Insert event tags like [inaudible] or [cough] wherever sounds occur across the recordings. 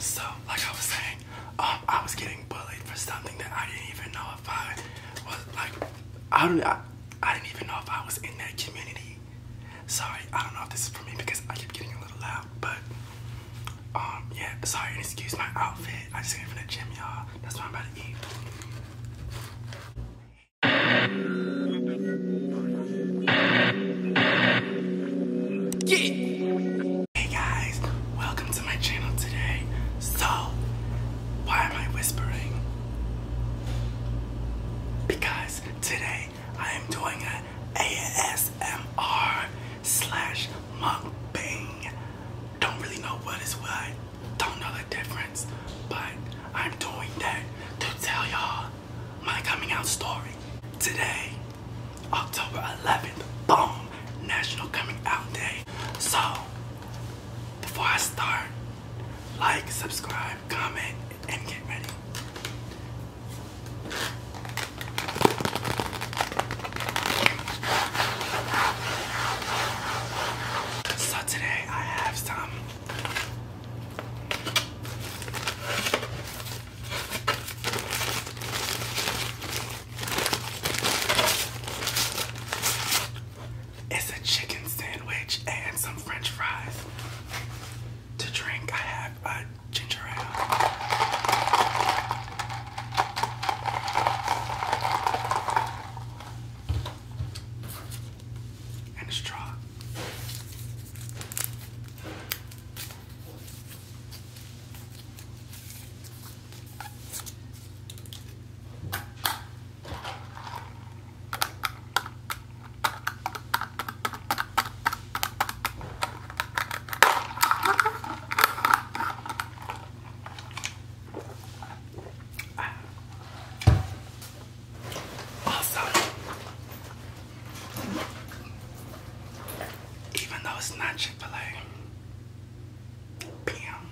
So, like I was saying, um, I was getting bullied for something that I didn't even know if I was like, I don't, I, didn't even know if I was in that community. Sorry, I don't know if this is for me because I keep getting a little loud, but um, yeah, sorry, excuse my outfit. I just came from the gym, y'all. That's what I'm about to eat. Yeah. Hey guys, welcome to my channel today. So, why am I whispering? Because today I am doing an ASMR slash mukbang. Don't really know what is what. Don't know the difference, but I'm doing that to tell y'all my coming out story. Today, October 11th, boom, National Coming Out Day. So, before I start, like, subscribe, comment, and get ready. So today I have some it's a chicken sandwich and some french fries. To drink, I have a uh, ginger ale and a straw. Also, even though it's not Chipotle. bam.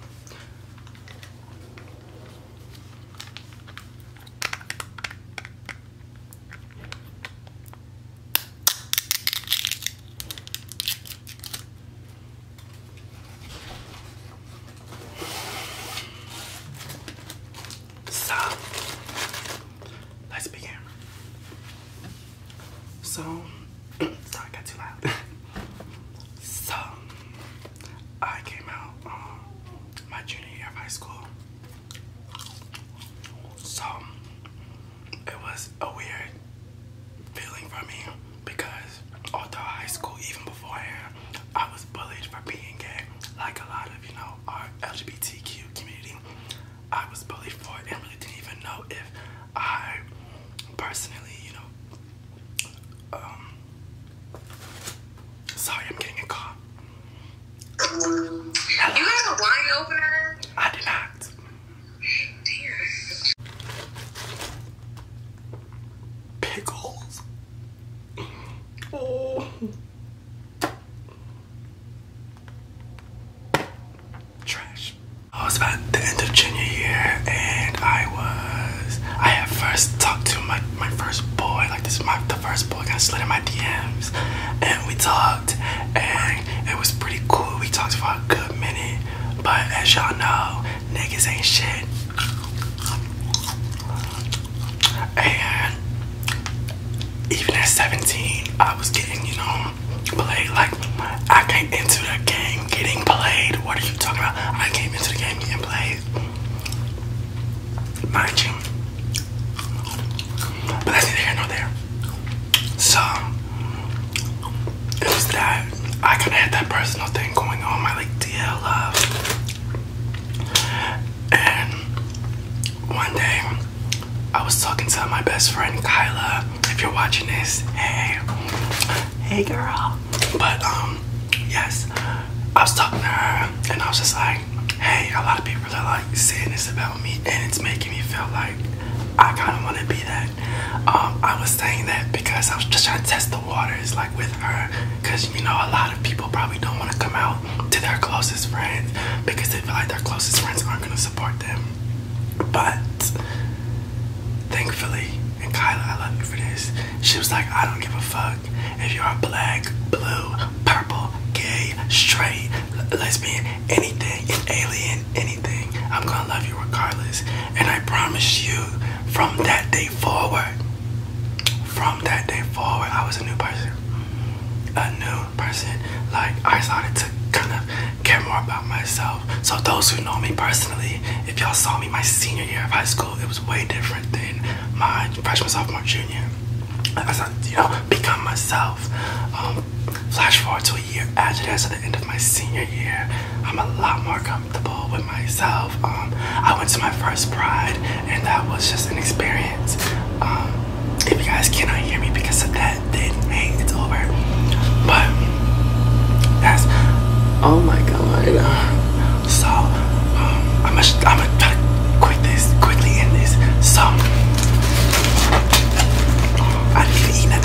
So, let's begin. So, [clears throat] sorry, I got too loud. [laughs] so, I came out um, my junior year of high school. So, it was a weird feeling for me because all high school, even beforehand, I was bullied for being gay, like a lot of you know our LGBTQ community. I was bullied for it and really didn't even know if I personally, you know, um, Sorry, I'm getting a You have a wine opener? I did not. Pickles. Oh. Trash. I was about the end of junior year and I was, I had first talked to my, my first boy, like this my, the first boy got slid in my DMs and we talked and it was pretty cool. We talked for a good minute, but as y'all know, niggas ain't shit. And even at 17, I was getting, you know, played. Like, I came into the game getting played. What are you talking about? I came into the game getting played. Mind you. But that's neither here nor there. So, it that I kind of had that personal thing going on. My, like, dear and one day, I was talking to my best friend Kyla. If you're watching this, hey, hey girl. But um, yes, I was talking to her, and I was just like, hey, a lot of people are like saying this about me, and it's making me feel like I kind of want to be that. Um, I was saying that because I was just trying to test the water is like with her because you know a lot of people probably don't want to come out to their closest friends because they feel like their closest friends aren't going to support them but thankfully and kyla i love you for this she was like i don't give a fuck if you're black blue purple gay straight lesbian anything alien anything i'm gonna love you regardless and i promise you from that day forward, from that day forward, I was a new person. A new person. Like, I started to kind of care more about myself. So, those who know me personally, if y'all saw me my senior year of high school, it was way different than my freshman, sophomore, junior. As I, you know, become myself. Um, flash forward to a year after that, end of my senior year, I'm a lot more comfortable with myself. Um, I went to my first pride, and that was just an experience. Um, if you guys cannot hear me because of that, then hey, it's over. But that's oh my god. So I'm gonna I'm gonna quit this quickly. End this. So I didn't even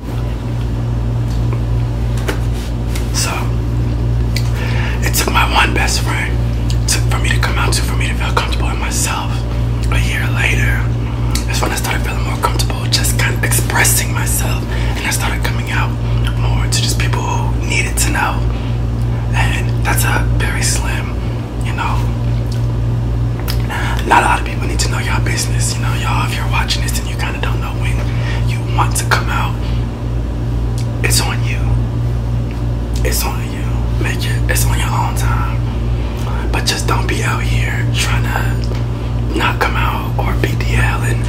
So it took my one best friend for me to come out to, for me to feel comfortable in myself. A year later, that's when I started feeling more comfortable, just kind of expressing myself. And I started coming out more to just people who needed to know. And that's a very slim, you know. Not a lot of people need to know your business, you know. Y'all, if you're watching this, then you kind don't know when you want to come out. It's on you. It's on you. Make It's on your own time. But just don't be out here trying to not come out or be hell and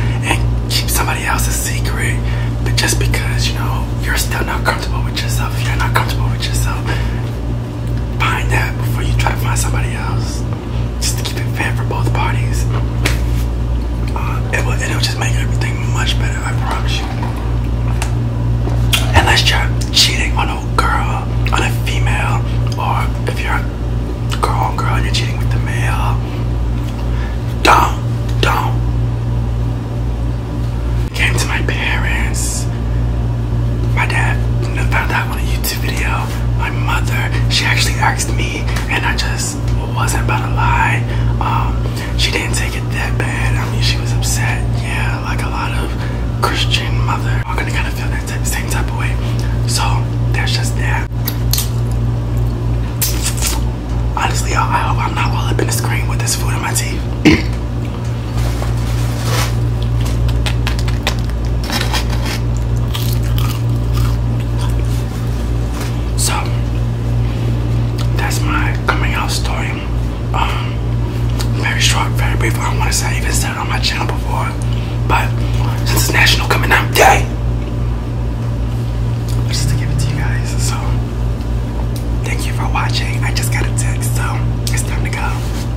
keep somebody else's secret. But just because you know you're still not comfortable with yourself, you're not comfortable with yourself. Find that before you try to find somebody else just to keep it fair for both parties. Uh, it will, it'll just make everything much better, I promise you. Unless you're cheating on a girl, on a female, or if you're a girl on girl, and you're cheating with the male. Don't, don't. Came to my parents. My dad found out on YouTube video my mother, she actually asked me, and I just wasn't about to lie. Um, she didn't take it that bad. I mean, she was upset, yeah, like a lot of Christian mother are gonna kind of feel that same type of way. So that's just that. Honestly, y'all, I hope I'm not all up in the screen with this food in my teeth. So that's my coming out story. Um, very short, very brief. I don't want to say I even said it on my channel before, but since it's National Coming Out Day, just to give it to you guys. So thank you for watching. I just got a text, so it's time to go.